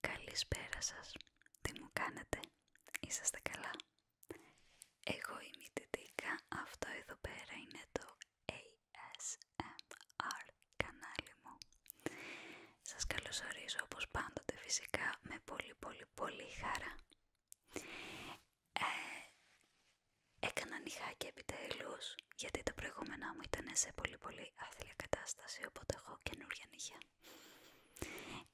Καλησπέρα σας. Τι μου κάνετε. Είσαστε καλά. Εγώ είμαι η Τιτίκα. Αυτό εδώ πέρα είναι το ASMR κανάλι μου. Σας καλωσορίζω όπως πάντοτε φυσικά με πολύ πολύ πολύ χαρά. Ε, έκανα νυχάκι επιτέλους, γιατί τα προηγούμενα μου ήταν σε πολύ πολύ άθλια κατάσταση, οπότε έχω καινούργια νυχιά.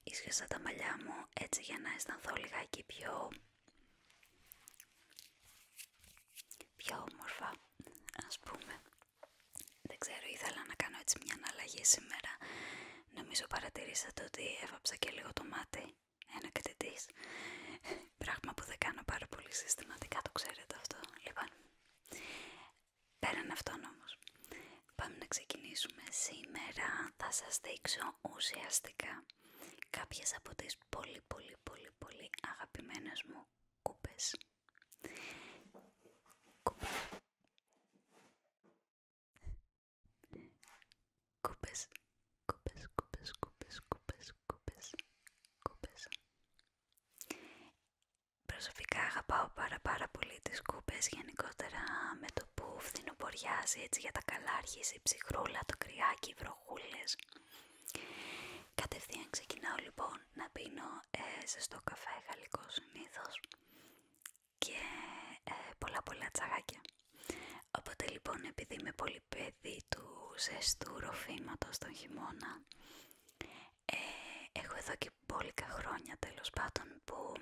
Ίσχυσα τα μαλλιά μου έτσι για να αισθανθώ λιγάκι πιο... πιο όμορφα, ας πούμε. Δεν ξέρω, ήθελα να κάνω έτσι μια αναλλαγή σήμερα. Νομίζω παρατηρήσατε ότι έβαψα και λίγο το μάτι. Ένα κατετή. Πράγμα που δεν κάνω πάρα πολύ συστηματικά, το ξέρετε αυτό. Λοιπόν, πέραν αυτόν όμω. Πάμε να ξεκινήσουμε. Σήμερα θα σας δείξω ουσιαστικά κάποιες από τις πολύ πολύ πολύ πολύ αγαπημένες μου κούπες. Κούπες. Κούπες, κούπες, κούπες, κούπες, κούπες, κούπες, κούπες. Προσωπικά αγαπάω πάρα πάρα πολύ τις κούπες, γενικότερα με το που φθινοποριάζει έτσι για τα καλά αρχίζει ψυχρούλα, το κρυάκι, βροχούλες. Κατευθείαν ξεκινάω λοιπόν να πίνω στο ε, ζεστό καφέ γαλλικό συνήθως και ε, πολλά πολλά τσαγάκια. Οπότε λοιπόν επειδή είμαι πολύ παιδί του ζεστού ροφήματος τον χειμώνα ε, έχω εδώ και πόλικα χρόνια τέλος πάντων που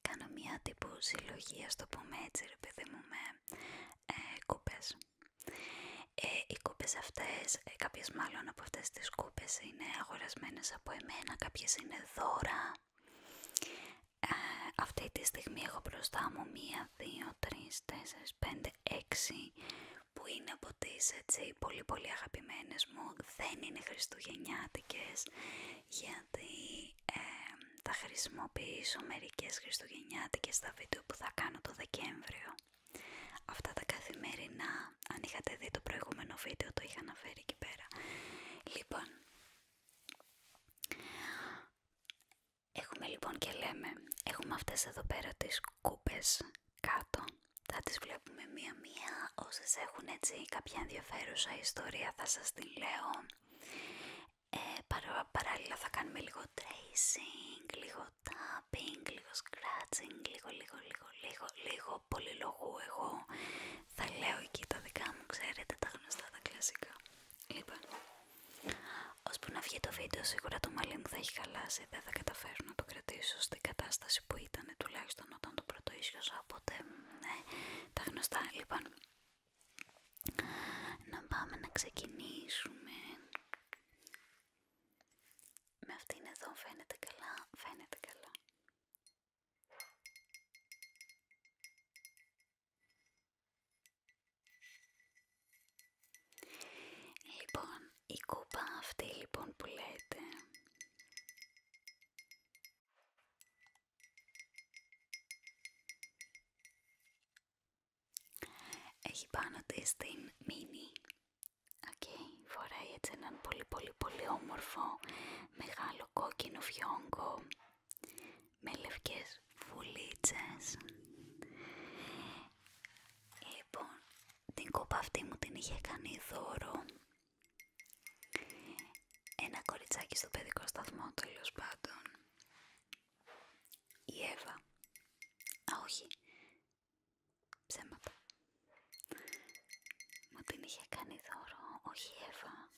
κάνω μια τύπου συλλογία το πούμε έτσι ρε παιδί μου με ε, κούπες. οι κούπες αυτές, ε, κάποιες μάλλον από αυτές τις σκούπες είναι αγορασμένες από εμένα, κάποιες είναι δώρα. Ε, αυτή τη στιγμή έχω μπροστά μου μία, δύο, τρεις, τέσσερις, πέντε, έξι που είναι από τις έτσι πολύ πολύ αγαπημένες μου. Δεν είναι χριστουγεννιάτικες γιατί ε, θα χρησιμοποιήσω μερικές χριστουγεννιάτικες στα βίντεο που θα κάνω το Δεκέμβριο αυτά τα καθημερινά, αν είχατε δει το προηγούμενο βίντεο το είχα αναφέρει εκεί πέρα. Λοιπόν, έχουμε λοιπόν και λέμε, έχουμε αυτές εδώ πέρα τις κούπες κάτω, θα τις βλέπουμε μία-μία, όσες έχουν έτσι κάποια ενδιαφέρουσα ιστορία θα σας την λέω. Ε, παράλληλα θα κάνουμε λίγο tracing, λίγο tap λίγο scratching, λίγο, λίγο, λίγο, λίγο, λίγο πολυλογού εγώ θα λέω εκεί τα δικά μου, ξέρετε, τα γνωστά, τα κλασικά. Λοιπόν, ώσπου να βγει το βίντεο σίγουρα το μαλλί μου θα έχει χαλάσει, δεν θα καταφέρω να το κρατήσω στην κατάσταση που ήταν τουλάχιστον όταν το πρώτο οπότε ναι, τα γνωστά. Λοιπόν, να πάμε να ξεκινήσουμε με αυτήν εδώ φαίνεται καλά, φαίνεται καλά. Λοιπόν, η κούπα αυτή λοιπόν που λέτε έχει πάνω της την μίνι Okay. Φοράει έτσι έναν πολύ πολύ πολύ όμορφο μεγάλο κόκκινο φιόγκο με λευκές φουλίτσες. Λοιπόν, την κόπα αυτή μου την είχε κάνει δώρο ένα κοριτσάκι στο παιδικό σταθμό τέλο πάντων. Η Εύα. Α, όχι. Ψέματα. Μου την είχε κάνει δώρο, όχι η Εύα.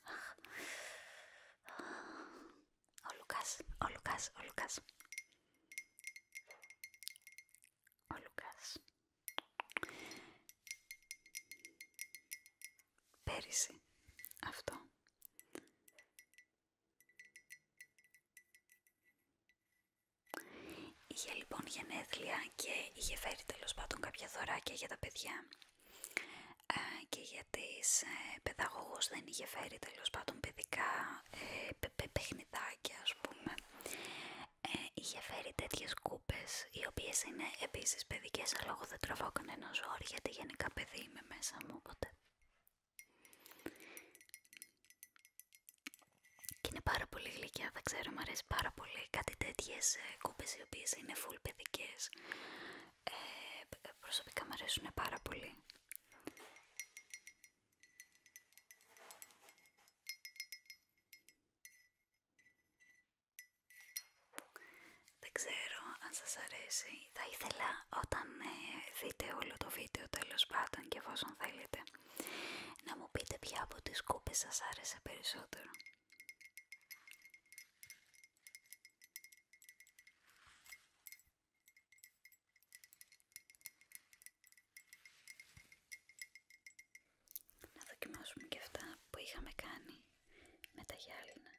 Ο Λουκάς, ο Λουκάς, ο Λουκάς. Ο Λουκάς. Πέρυσι αυτό. Είχε λοιπόν γενέθλια και είχε φέρει τέλος πάντων κάποια δωράκια για τα παιδιά και για τις ε, παιδαγωγούς δεν είχε φέρει τέλος πάντων παιδικά ε, παιχνιδάκια ας πούμε. Ε, είχε φέρει τέτοιες κούπες οι οποίες είναι επίσης παιδικές αλλά εγώ δεν τραβάω κανένα ζόρι γιατί γενικά παιδί είμαι μέσα μου οπότε και είναι πάρα πολύ γλυκιά, δεν ξέρω, μου αρέσει πάρα πολύ κάτι τέτοιες ε, κούπες οι οποίες είναι φουλ παιδικές ε, προσωπικά μου αρέσουν πάρα πολύ δεν ξέρω αν σας αρέσει. Θα ήθελα όταν ε, δείτε όλο το βίντεο τέλος πάντων και εφόσον θέλετε να μου πείτε ποια από τις κούπες σας άρεσε περισσότερο. Να δοκιμάσουμε και αυτά που είχαμε κάνει με τα γυάλινα.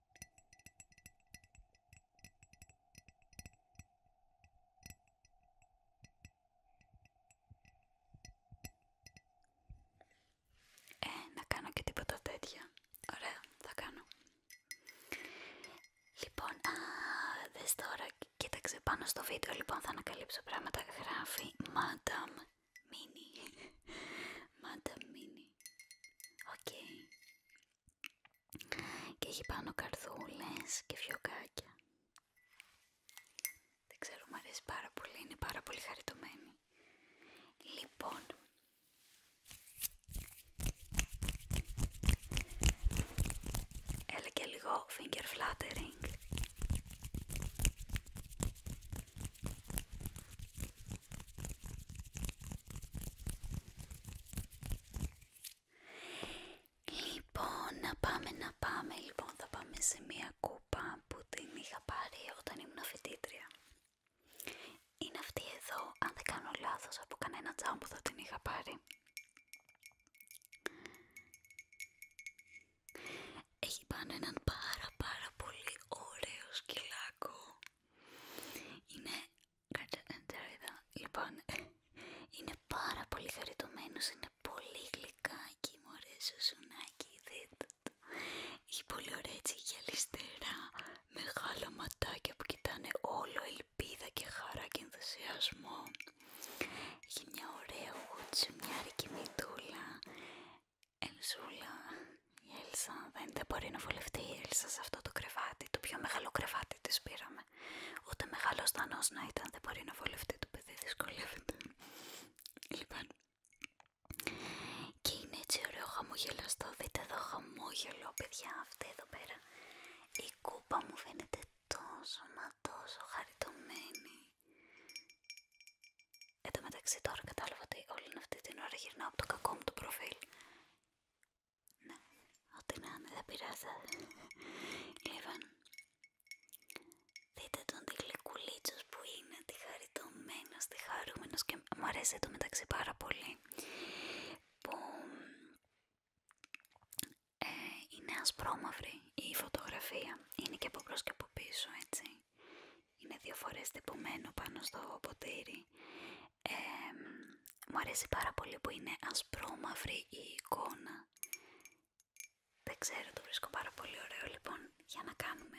Ε, να κάνω και τίποτα τέτοια. Ωραία, θα κάνω. Λοιπόν, α, τώρα, κοίταξε πάνω στο βίντεο, λοιπόν, θα ανακαλύψω πράγματα. Γράφει Madame Mini. Madame Mini. Οκ και έχει πάνω καρδούλες και φιωκάκια. Δεν ξέρω, μου αρέσει πάρα πολύ, είναι πάρα πολύ χαριτωμένη. Λοιπόν, έλα και λίγο finger fluttering Λοιπόν, να πάμε, να πάμε. Λοιπόν, θα πάμε σε μία κούπα που την είχα πάρει όταν ήμουν φοιτήτρια. Είναι αυτή εδώ, αν δεν κάνω λάθος, από κανένα που θα την είχα πάρει. Έχει πάνω έναν πάρα πάρα πολύ ωραίο σκυλάκο. Είναι Κάτσε Λοιπόν, είναι πάρα πολύ χαριτωμένο, είναι πολύ γλυκάκι μου αρέσει δείτε το! Έχει πολύ ωραία έτσι γυαλιστερά, μεγάλα ματάκια που κοιτάνε όλο ελπίδα και χαρά και ενθουσιασμό. Έχει μια ωραία μια μητούλα, ενσούλα, η Έλσα δεν, μπορεί να βολευτεί η Έλσα σε αυτό το κρεβάτι, το πιο μεγάλο κρεβάτι της πήραμε. Ούτε μεγάλο δανός να ήταν δεν μπορεί να βολευτεί το παιδί, δυσκολεύεται. Λοιπόν, και είναι έτσι ωραίο χαμογελαστό, δείτε εδώ χαμόγελο παιδιά αυτή εδώ πέρα. Η κούπα μου φαίνεται τόσο μα τόσο χαριτωμένη. Εν τω μεταξύ τώρα κατάλαβα ότι όλη αυτή την ώρα γυρνάω από το κακό μου το προφίλ. Ναι, ό,τι να είναι δεν πειράζει. Λοιπόν, δείτε τον τη γλυκουλίτσος που είναι, τη χαριτωμένος, τη χαρούμενος και μου αρέσει το μεταξύ πάρα πολύ. Που είναι είναι ασπρόμαυρη η φωτογραφία, είναι και από μπρος και από πίσω έτσι. Είναι δύο φορές τυπωμένο πάνω στο ποτήρι μου αρέσει πάρα πολύ που είναι ασπρόμαυρη η εικόνα. Δεν ξέρω, το βρίσκω πάρα πολύ ωραίο λοιπόν για να κάνουμε.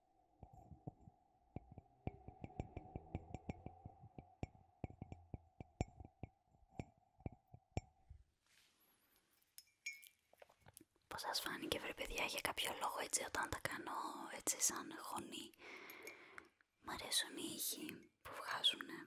Πώς σας φάνηκε βρε για κάποιο λόγο έτσι όταν τα κάνω έτσι σαν χωνή Μ' αρέσουν οι ήχοι που βγάζουνε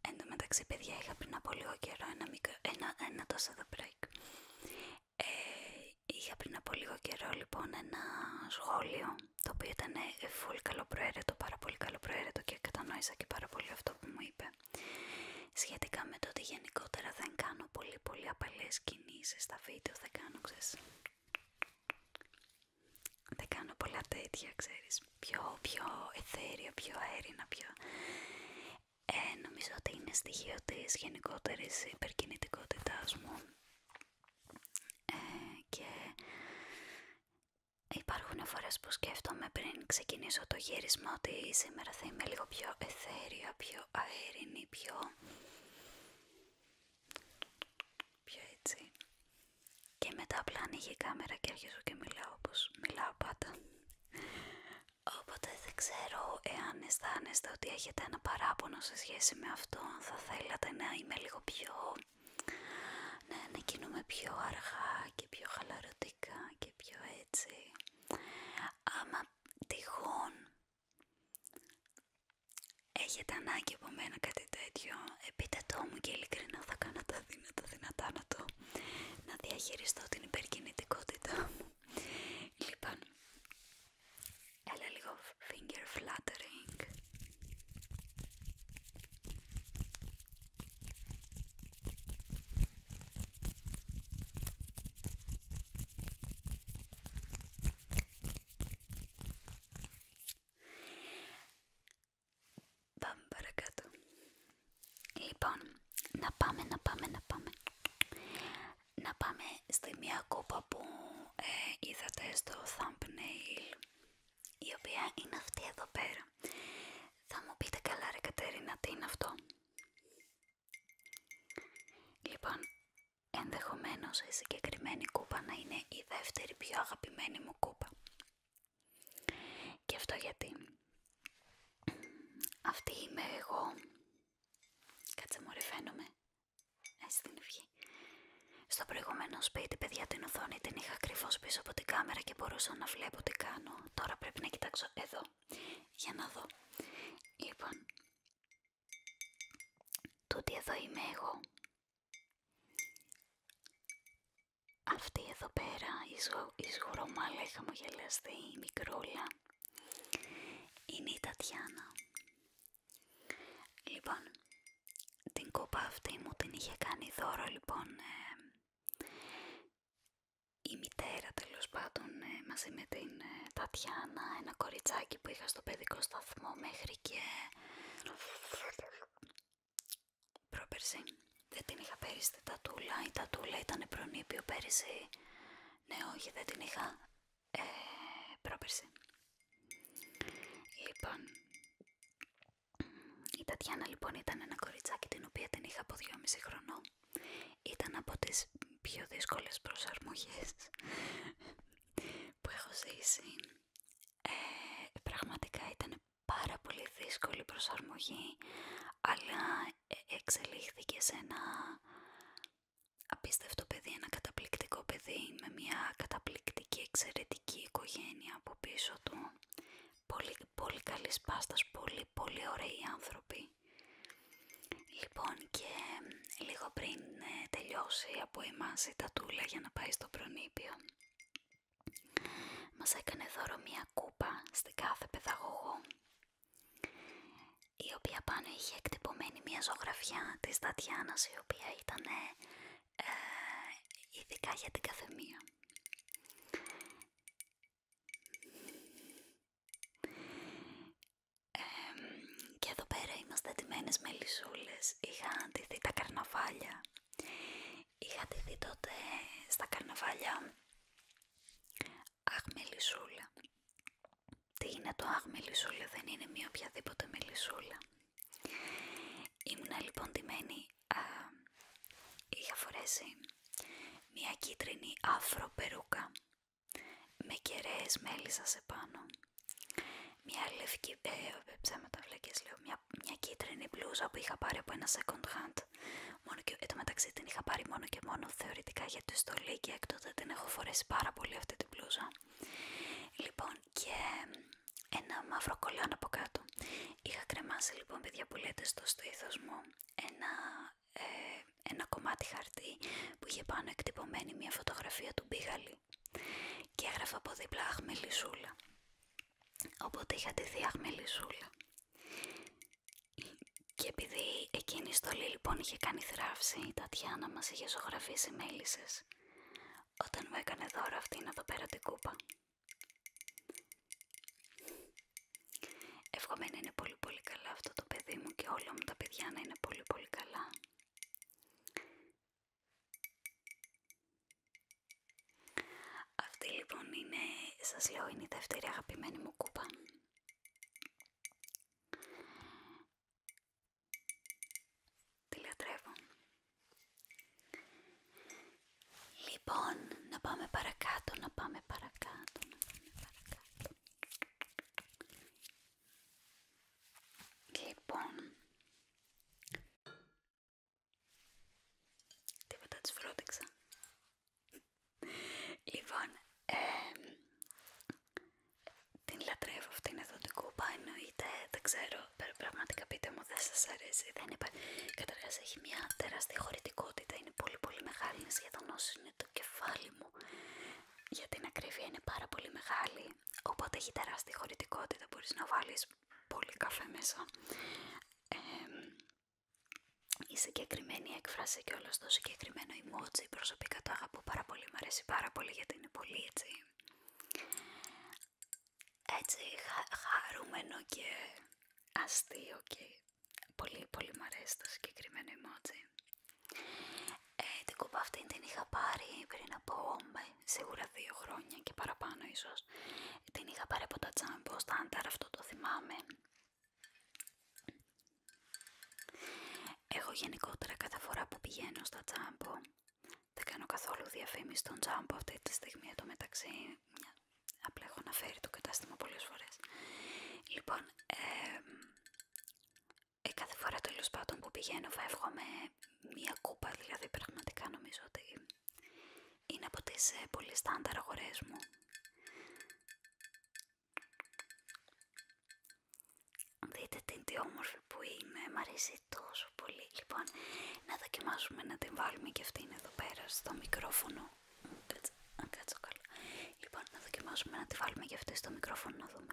Εν τω μεταξύ, παιδιά, είχα πριν από λίγο καιρό ένα, μικρο... ένα, ένα τόσο εδώ break. Ε, είχα πριν από λίγο καιρό λοιπόν ένα σχόλιο το οποίο ήταν ε, full καλοπροαίρετο, πάρα πολύ καλοπροαίρετο και κατανόησα και πάρα πολύ αυτό που μου είπε σχετικά με το ότι γενικότερα δεν κάνω πολύ πολύ απαλές κινήσεις στα βίντεο, θα κάνω δεν κάνω πολλά τέτοια, ξέρεις, πιο, πιο εθέριο, πιο αέρινα, πιο... Ε, νομίζω ότι είναι στοιχείο της γενικότερης υπερκινητικότητάς μου ε, και υπάρχουν φορές που σκέφτομαι πριν ξεκινήσω το γύρισμα ότι σήμερα θα είμαι λίγο πιο εθέρια, πιο αέρινη, πιο πιο έτσι και μετά απλά ανοίγει η κάμερα και αρχίζω και μιλάω όπως μιλάω πάντα οπότε δεν ξέρω εάν αισθάνεστε ότι έχετε ένα παράπονο σε σχέση με αυτό θα θέλατε να είμαι λίγο πιο να ανακοινούμε πιο αργά και πιο χαλαρωτικά και πιο έτσι άμα τυχόν έχετε ανάγκη από μένα κάτι τέτοιο, επίτετο το μου και ειλικρινά θα κάνω τα δύνατα δυνατά να το να διαχειριστώ την υπερκινητικότητά μου. Λοιπόν, έλα λίγο finger fluttering. Πάμε παρακάτω. Λοιπόν, να πάμε, να πάμε, να πάμε. Να πάμε στη μία κούπα που ε, είδατε στο thumbnail, η οποία είναι αυτή εδώ πέρα. Θα μου πείτε καλά ρε Κατερίνα, τι είναι αυτό. Λοιπόν, Ενδεχομένως η συγκεκριμένη κούπα να είναι η δεύτερη πιο αγαπημένη μου κούπα. Και αυτό γιατί αυτή είμαι εγώ. Κάτσε μωρέ φαίνομαι. Έτσι ε, την ευχή. Στο προηγούμενο σπίτι, παιδιά, την οθόνη την είχα ακριβώ πίσω από την κάμερα και μπορούσα να βλέπω τι κάνω. Τώρα πρέπει να κοιτάξω εδώ για να δω. Λοιπόν, Τούτη εδώ είμαι εγώ. Αυτή εδώ πέρα, η, σγο, η σγουρομάλα, είχα μογελαστεί η μικρούλα, είναι η Τατιάνα. Λοιπόν, την κούπα αυτή μου την είχε κάνει δώρο, λοιπόν, ε, η μητέρα τέλο πάντων ε, μαζί με την ε, Τατιάνα, ένα κοριτσάκι που είχα στο παιδικό σταθμό μέχρι και πρόπερση. Δεν την είχα πέρυσι την τατούλα, η τατούλα ήταν προνήπιο πέρυσι. Ναι, όχι, δεν την είχα ε, πρόπερση. Λοιπόν, η Τατιάνα λοιπόν ήταν ένα κοριτσάκι την οποία την είχα από 2,5 χρονών. Ήταν από τις πιο δύσκολες προσαρμογές που έχω ζήσει ε, πραγματικά ήταν πάρα πολύ δύσκολη προσαρμογή, αλλά ε, εξελίχθηκε σε ένα απίστευτο παιδί, ένα καταπληκτικό παιδί με μια καταπληκτική εξαιρετική οικογένεια από πίσω του. Πολύ, πολύ καλή πάστας, πολύ πολύ ωραίοι άνθρωποι. Λοιπόν και λίγο πριν ε, τελειώσει από εμάς η τατούλα για να πάει στο προνίπιο. Μας έκανε δώρο μία κούπα στην κάθε παιδαγωγό, η οποία πάνω είχε εκτυπωμένη μία ζωγραφιά της Τατιάνας, η οποία ήταν ε, ειδικά για την καθεμία και εδώ πέρα είμαστε ντυμένες με Είχα ντυθεί τα καρναβάλια. Είχα ντυθεί τότε στα καρναβάλια αχ μελισσούλα. Τι είναι το αχ μελισσούλα, δεν είναι μία οποιαδήποτε μελισσούλα. Ήμουνα λοιπόν ντυμένη, είχα φορέσει μία κίτρινη άφρο περούκα με μέλισσα σε πάνω. Μια λευκή, ε, ε, ψέματα βλακές λέω, μια, μια κίτρινη μπλούζα που είχα πάρει από ένα second hand. Μόνο και, εν μεταξύ την είχα πάρει μόνο και μόνο θεωρητικά για τη στολή και έκτοτε την έχω φορέσει πάρα πολύ αυτή την μπλούζα. Λοιπόν, και ένα μαύρο κολλάν από κάτω. Είχα κρεμάσει λοιπόν, παιδιά που λέτε στο στήθος μου, ένα, ε, ένα κομμάτι χαρτί που είχε πάνω εκτυπωμένη μια φωτογραφία του Μπίγαλη και έγραφα από δίπλα αχμελισούλα. Οπότε είχα τη αχμελισούλα. Και επειδή εκείνη η στολή λοιπόν είχε κάνει θράψη, η Τατιάνα μας είχε ζωγραφίσει μέλισσε όταν μου έκανε δώρο να εδώ πέρα την κούπα. Εύχομαι να είναι πολύ πολύ καλά αυτό το παιδί μου και όλα μου τα παιδιά να είναι πολύ πολύ καλά. Αυτή λοιπόν είναι, σας λέω, η δεύτερη αγαπημένη μου κούπα. Τη λατρεύω. Λοιπόν, να πάμε παρακάτω, να πάμε παρακάτω, να πάμε παρακάτω. Λοιπόν, τίποτα τι φρόντιξα. Λοιπόν, την λατρεύω αυτήν εδώ την κούπα, εννοείται, δεν ξέρω, πραγματικά πείτε μου, δεν σας αρέσει, δεν υπάρχει. Καταρχάς έχει μια τεράστια χωρητικότητα, είναι πολύ πολύ μεγάλη, είναι σχεδόν όσο είναι το κεφάλι μου. Για την ακρίβεια είναι πάρα πολύ μεγάλη οπότε έχει τεράστια χωρητικότητα, μπορείς να βάλεις πολύ καφέ μέσα. η συγκεκριμένη έκφραση και όλο το συγκεκριμένο emoji προσωπικά το αγαπώ πάρα πολύ, μου αρέσει πάρα πολύ γιατί είναι πολύ έτσι, έτσι χαρούμενο και αστείο και πολύ πολύ μου αρέσει το συγκεκριμένο emoji. Ε, την κούπα αυτή την είχα πάρει πριν από σίγουρα δύο χρόνια και παραπάνω ίσως. Την είχα πάρει από τα τζάμπο στάνταρ, αυτό το θυμάμαι. Εγώ γενικότερα κάθε φορά που πηγαίνω στα τσάμπο δεν κάνω καθόλου διαφήμιση στον τζάμπο αυτή τη στιγμή εδώ μεταξύ. Απλά έχω αναφέρει το κατάστημα πολλές φορές. Λοιπόν, ε, ε, κάθε φορά τέλο πάντων που πηγαίνω φεύγω με μία κούπα, δηλαδή πραγματικά νομίζω ότι είναι από τις ε, πολύ στάνταρ αγορέ μου. Δείτε την τι όμορφη που είναι, μ' αρέσει τόσο πολύ. Λοιπόν, να δοκιμάσουμε να την βάλουμε και αυτήν εδώ πέρα στο μικρόφωνο. Κάτσε, κάτσω καλά. Λοιπόν, να δοκιμάσουμε να τη βάλουμε και αυτή στο μικρόφωνο να δούμε.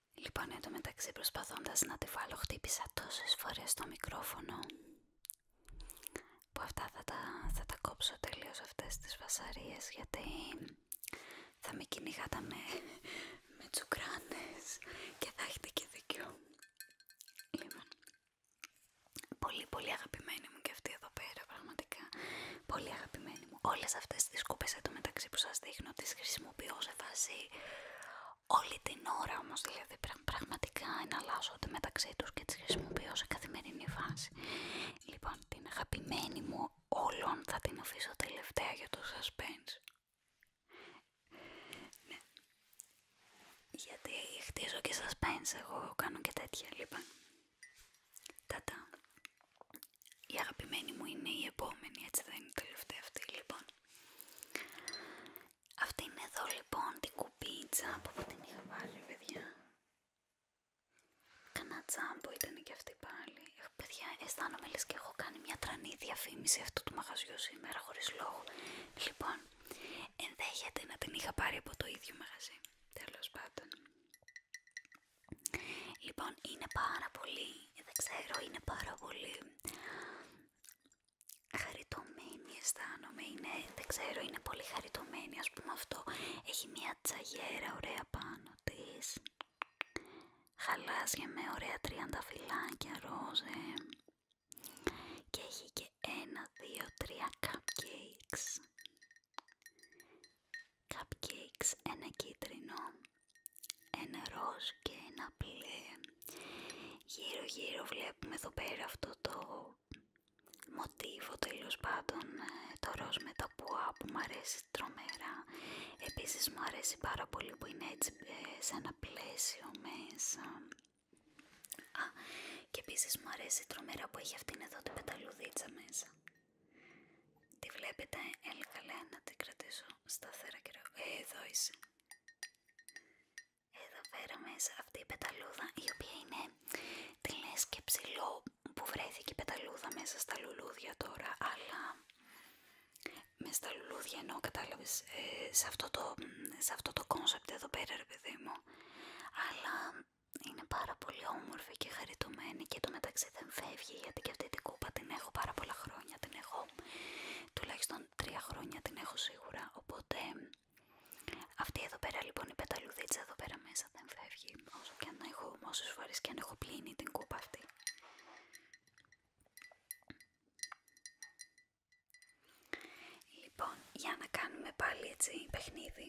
Λοιπόν, εντωμεταξύ προσπαθώντα μεταξύ προσπαθώντας να τη βάλω χτύπησα τόσες φορές το μικρόφωνο που αυτά θα τα, θα τα κόψω τελείως αυτές τις βασαρίες γιατί θα με κυνηγάτα με, με τσουκράνες και θα έχετε και δικιό. Λοιπόν, πολύ πολύ αγαπημένη μου και αυτή εδώ πέρα πραγματικά, πολύ αγαπημένη μου όλες αυτές τις σκούπες μεταξύ που σας δείχνω τις χρησιμοποιώ σε βάση όλη την ώρα όμως δηλαδή πραγματικά εναλλάσσονται μεταξύ τους και τις χρησιμοποιώ σε καθημερινή φάση. λοιπόν την αγαπημένη μου όλων θα την αφήσω τελευταία για το suspense ναι. γιατί χτίζω και suspense εγώ κάνω και τέτοια λοιπόν τα η αγαπημένη μου είναι η επόμενη, έτσι δεν είναι η τελευταία αυτή λοιπόν. Αυτή είναι εδώ λοιπόν την τζάμπο που την είχα βάλει παιδιά. Κανά τζάμπο ήταν και αυτή πάλι. Παιδιά αισθάνομαι λες και έχω κάνει μια τρανή διαφήμιση αυτού του μαγαζιού σήμερα χωρίς λόγο. Λοιπόν, ενδέχεται να την είχα πάρει από το ίδιο μαγαζί. Τέλος πάντων. Λοιπόν, είναι πάρα πολύ, δεν ξέρω, είναι πάρα πολύ χαριτωμένη αισθάνομαι, είναι, δεν ξέρω, είναι πολύ χαριτωμένη ας πούμε αυτό. Έχει μια τσαγιέρα ωραία πάνω της, χαλάζια με ωραία φιλάκια ρόζε και έχει και ένα, δύο, τρία cupcakes cupcakes, ένα κίτρινο, ένα ροζ και ένα μπλε. Γύρω γύρω βλέπουμε εδώ πέρα αυτό το μοτίβο τέλο πάντων, ε, το ροζ με τα πουά που μου αρέσει τρομερά. Επίσης μου αρέσει πάρα πολύ που είναι έτσι ε, σε ένα πλαίσιο μέσα. Α, και επίσης μου αρέσει τρομερά που έχει αυτήν εδώ την πεταλουδίτσα μέσα. Τη βλέπετε, έλεγα να την κρατήσω σταθερά και ε, Εδώ είσαι. Εδώ πέρα μέσα αυτή η πεταλούδα η οποία είναι τη λες και που βρέθηκε η πεταλούδα μέσα στα λουλούδια τώρα αλλά μέσα στα λουλούδια ενώ κατάλαβες ε, σε, αυτό το, σε αυτό το concept εδώ πέρα ρε παιδί μου αλλά είναι πάρα πολύ όμορφη και χαριτωμένη και το μεταξύ δεν φεύγει γιατί και αυτή την κούπα την έχω πάρα πολλά χρόνια, την έχω τουλάχιστον τρία χρόνια την έχω σίγουρα, οπότε αυτή εδώ πέρα λοιπόν η πεταλουδίτσα εδώ πέρα μέσα δεν φεύγει όσο και αν έχω, όσες φορές και αν έχω πλύνει την κούπα αυτή. Λοιπόν, για να κάνουμε πάλι έτσι παιχνίδι.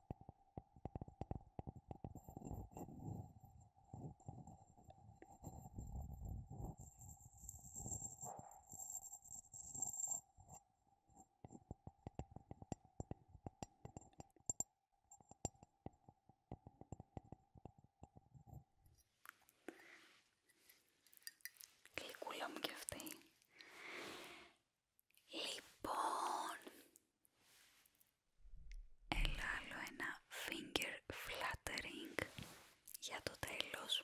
Γλυκούλα μου κι αυτή. Λοιπόν, Έλα άλλο ένα finger flattering για το τέλος.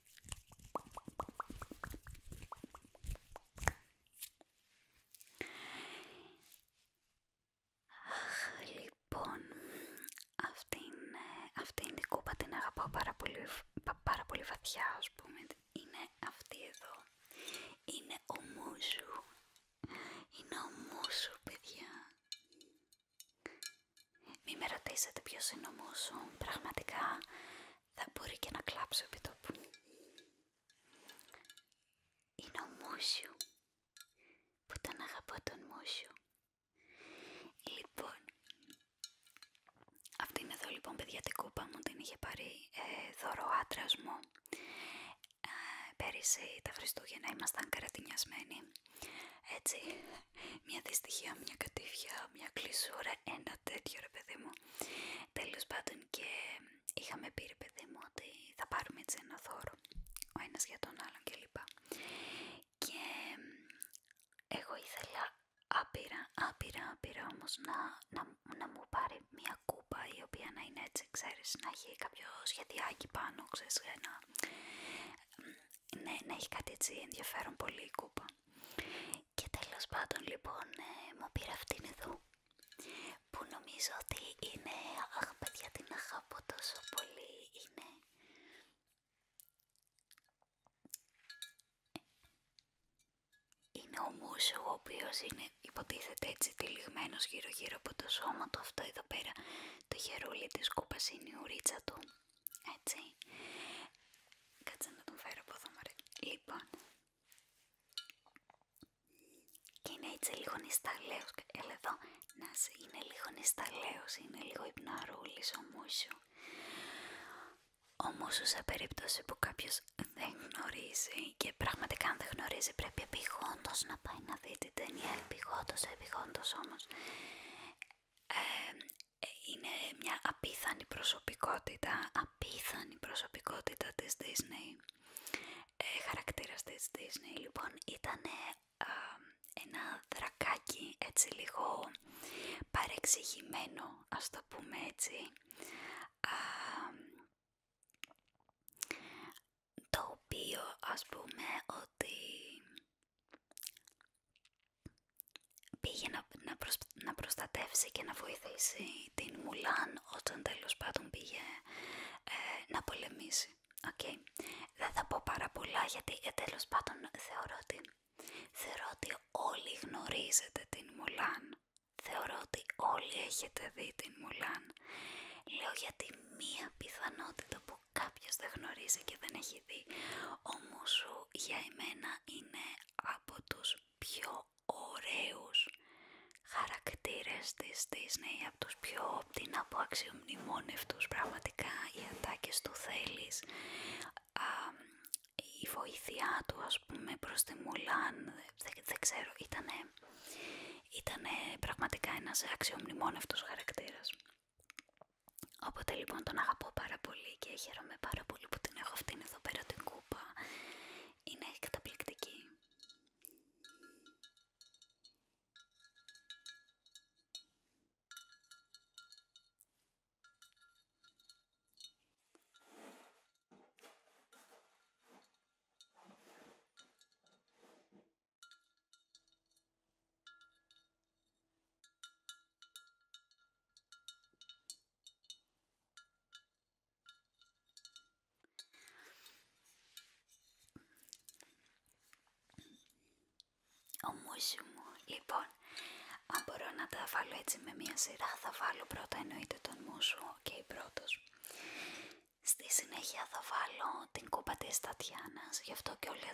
Αχ, λοιπόν, αυτή είναι, αυτή η κούπα, την αγαπάω πάρα πολύ, πάρα πολύ βαθιά, πούμε. Είναι αυτή εδώ. Είναι ο Μούσου. Είναι ο Μούσου, παιδιά. Μη με ρωτήσετε ποιος είναι ο πραγματικά θα μπορεί και να κλάψω επί τόπου. Είναι ο Μούσιου, που τον αγαπώ τον Μούσιου. Λοιπόν, αυτή είναι εδώ λοιπόν παιδιά την κούπα μου, την είχε πάρει ε, δώρο άντρας μου. Ε, πέρυσι τα Χριστούγεννα ήμασταν καρατινιασμένοι, έτσι μια δυστυχία, μια κατήφια, μια κλεισούρα, ένα τέτοιο ρε παιδί μου. Τέλος πάντων και είχαμε πει ρε παιδί μου ότι θα πάρουμε έτσι ένα δώρο, ο ένας για τον άλλον κλπ. Και εγώ ήθελα άπειρα, άπειρα, άπειρα όμως να, να, μου πάρει μια κούπα η οποία να είναι έτσι, ξέρεις, να έχει κάποιο σχεδιάκι πάνω, ξέρεις, ναι, να έχει κάτι έτσι ενδιαφέρον πολύ η κούπα. Και τέλος πάντων λοιπόν ε, μου πήρα αυτήν εδώ που νομίζω ότι είναι, αχ παιδιά την αγαπώ τόσο πολύ, είναι... Είναι ο μουσου ο οποίος είναι υποτίθεται έτσι τυλιγμένος γύρω γύρω από το σώμα του αυτό εδώ πέρα το χερούλι της κούπας είναι η ουρίτσα του έτσι κάτσε να τον φέρω από εδώ μωρέ λοιπόν και είναι έτσι λίγο νησταλέος εδώ να είναι λίγο νησταλέος είναι λίγο υπναρούλης ο Μούσου ο Μούσου σε περίπτωση που κάποιος δεν γνωρίζει και πραγματικά αν δεν γνωρίζει πρέπει να πάει να δει την ταινία επιγόντως όμως ε, είναι μια απίθανη προσωπικότητα, απίθανη προσωπικότητα της Disney, ε, χαρακτήρας της Disney. Λοιπόν, ήταν ένα δρακάκι έτσι λίγο παρεξηγημένο, ας το πούμε έτσι, το οποίο ας πούμε ότι πήγε να, προστατεύσει και να βοηθήσει την Μουλάν όταν τέλος πάντων πήγε ε, να πολεμήσει. Δεν θα πω πάρα πολλά γιατί ε, τέλος πάντων θεωρώ ότι, όλοι γνωρίζετε την Μουλάν. Θεωρώ ότι όλοι έχετε δει την Μουλάν. Λέω γιατί μία πιθανότητα που κάποιος δεν γνωρίζει και δεν έχει δει. Ο Μουσού για εμένα είναι από τους πιο ωραίους χαρακτήρες της Disney, από τους πιο την από αξιομνημόνευτους πραγματικά, οι ατάκες του θέλεις, η βοήθειά του ας πούμε προς τη Μουλάν, δεν, ξέρω, ήτανε, πραγματικά ένας αξιομνημόνευτος χαρακτήρας. Οπότε λοιπόν τον αγαπώ πάρα πολύ και χαίρομαι πάρα πολύ που την έχω αυτήν εδώ πέρα την κούπα. Είναι καταπληκτική. Ο μουσι μου, λοιπόν, αν μπορώ να τα βάλω έτσι με μία σειρά, θα βάλω πρώτα εννοείται τον μουσου, και η πρώτος. Στη συνέχεια θα βάλω την κούπα της Τατιάνας, γι' αυτό και όλε.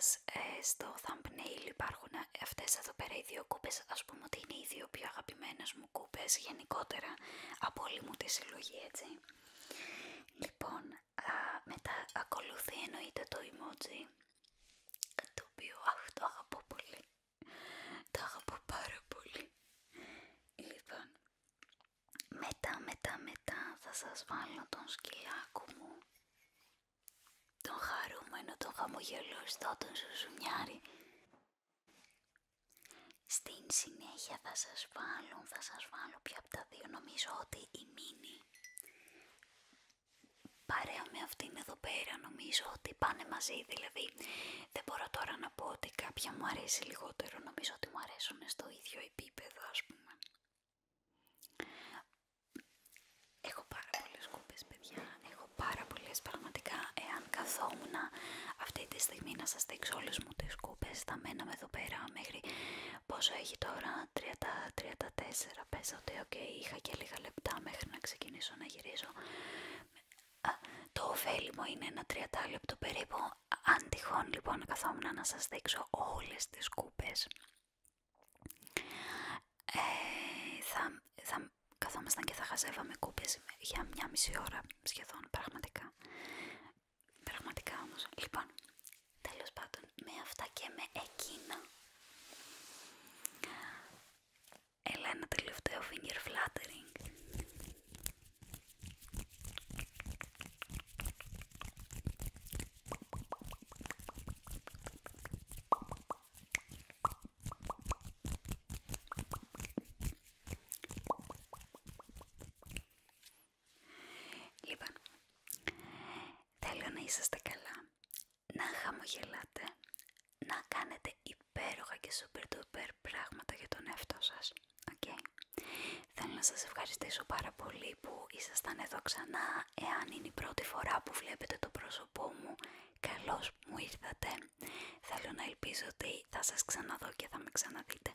στο thumbnail υπάρχουν ε, αυτές εδώ πέρα οι δύο κούπες, ας πούμε ότι είναι οι δύο πιο αγαπημένες μου κούπες γενικότερα από όλη μου τη συλλογή, έτσι. Λοιπόν, μετά ακολουθεί εννοείται το emoji, το οποίο αχ, το αγαπώ πολύ, το αγαπώ πάρα πολύ. Λοιπόν, μετά, μετά, μετά θα σας βάλω τον σκυλάκο μου τον χαρούμενο, τον χαμογελωστό, τον σουσουμιάρι Στην συνέχεια θα σας βάλω, θα σας βάλω πια από τα δύο, νομίζω ότι η Μίνη παρέα με αυτήν εδώ πέρα νομίζω ότι πάνε μαζί, δηλαδή δεν μπορώ τώρα να πω ότι κάποια μου αρέσει λιγότερο, νομίζω ότι μου αρέσουν στο ίδιο επίπεδο ας πούμε. Έχω πάρα πολλές κούπες παιδιά, έχω πάρα πολλές πραγματικά εάν καθόμουν αυτή τη στιγμή να σας δείξω όλες μου τις κούπες θα μέναμε εδώ πέρα μέχρι πόσο έχει τώρα 30-34 πέσα ότι okay, είχα και λίγα λεπτά μέχρι να ξεκινήσω να γυρίζω το ωφέλιμο είναι ένα 34 πεσα οτι ειχα και λιγα λεπτα μεχρι να ξεκινησω να γυριζω το μου ειναι ενα 30 λεπτο περιπου αν τυχόν λοιπόν καθόμουν να σα δείξω όλες τις κούπες ε, θα, θα καθόμασταν και θα χαζεύαμε κούπες για μια μισή ώρα σχεδόν, πραγματικά. Πραγματικά όμως. Λοιπόν, τέλος πάντων, με αυτά και με εκείνα. Έλα ένα τελευταίο finger flattering. Λοιπόν, θέλω να είσαστε καλά, να χαμογελάτε, να κάνετε υπέροχα και super duper πράγματα για τον εαυτό σας, okay. Θέλω να σας ευχαριστήσω πάρα πολύ που ήσασταν εδώ ξανά. Εάν είναι η πρώτη φορά που βλέπετε το πρόσωπό μου, καλώς μου ήρθατε. Θέλω να ελπίζω ότι θα σας ξαναδώ και θα με ξαναδείτε.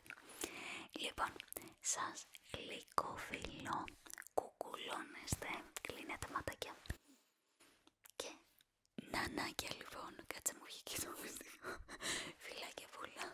Λοιπόν, σας γλυκοφιλώ, κουκουλώνεστε, κλείνετε ματάκια. Και νανάκια λοιπόν, κάτσε μου και το βίντεο, Φιλάκια πολλά.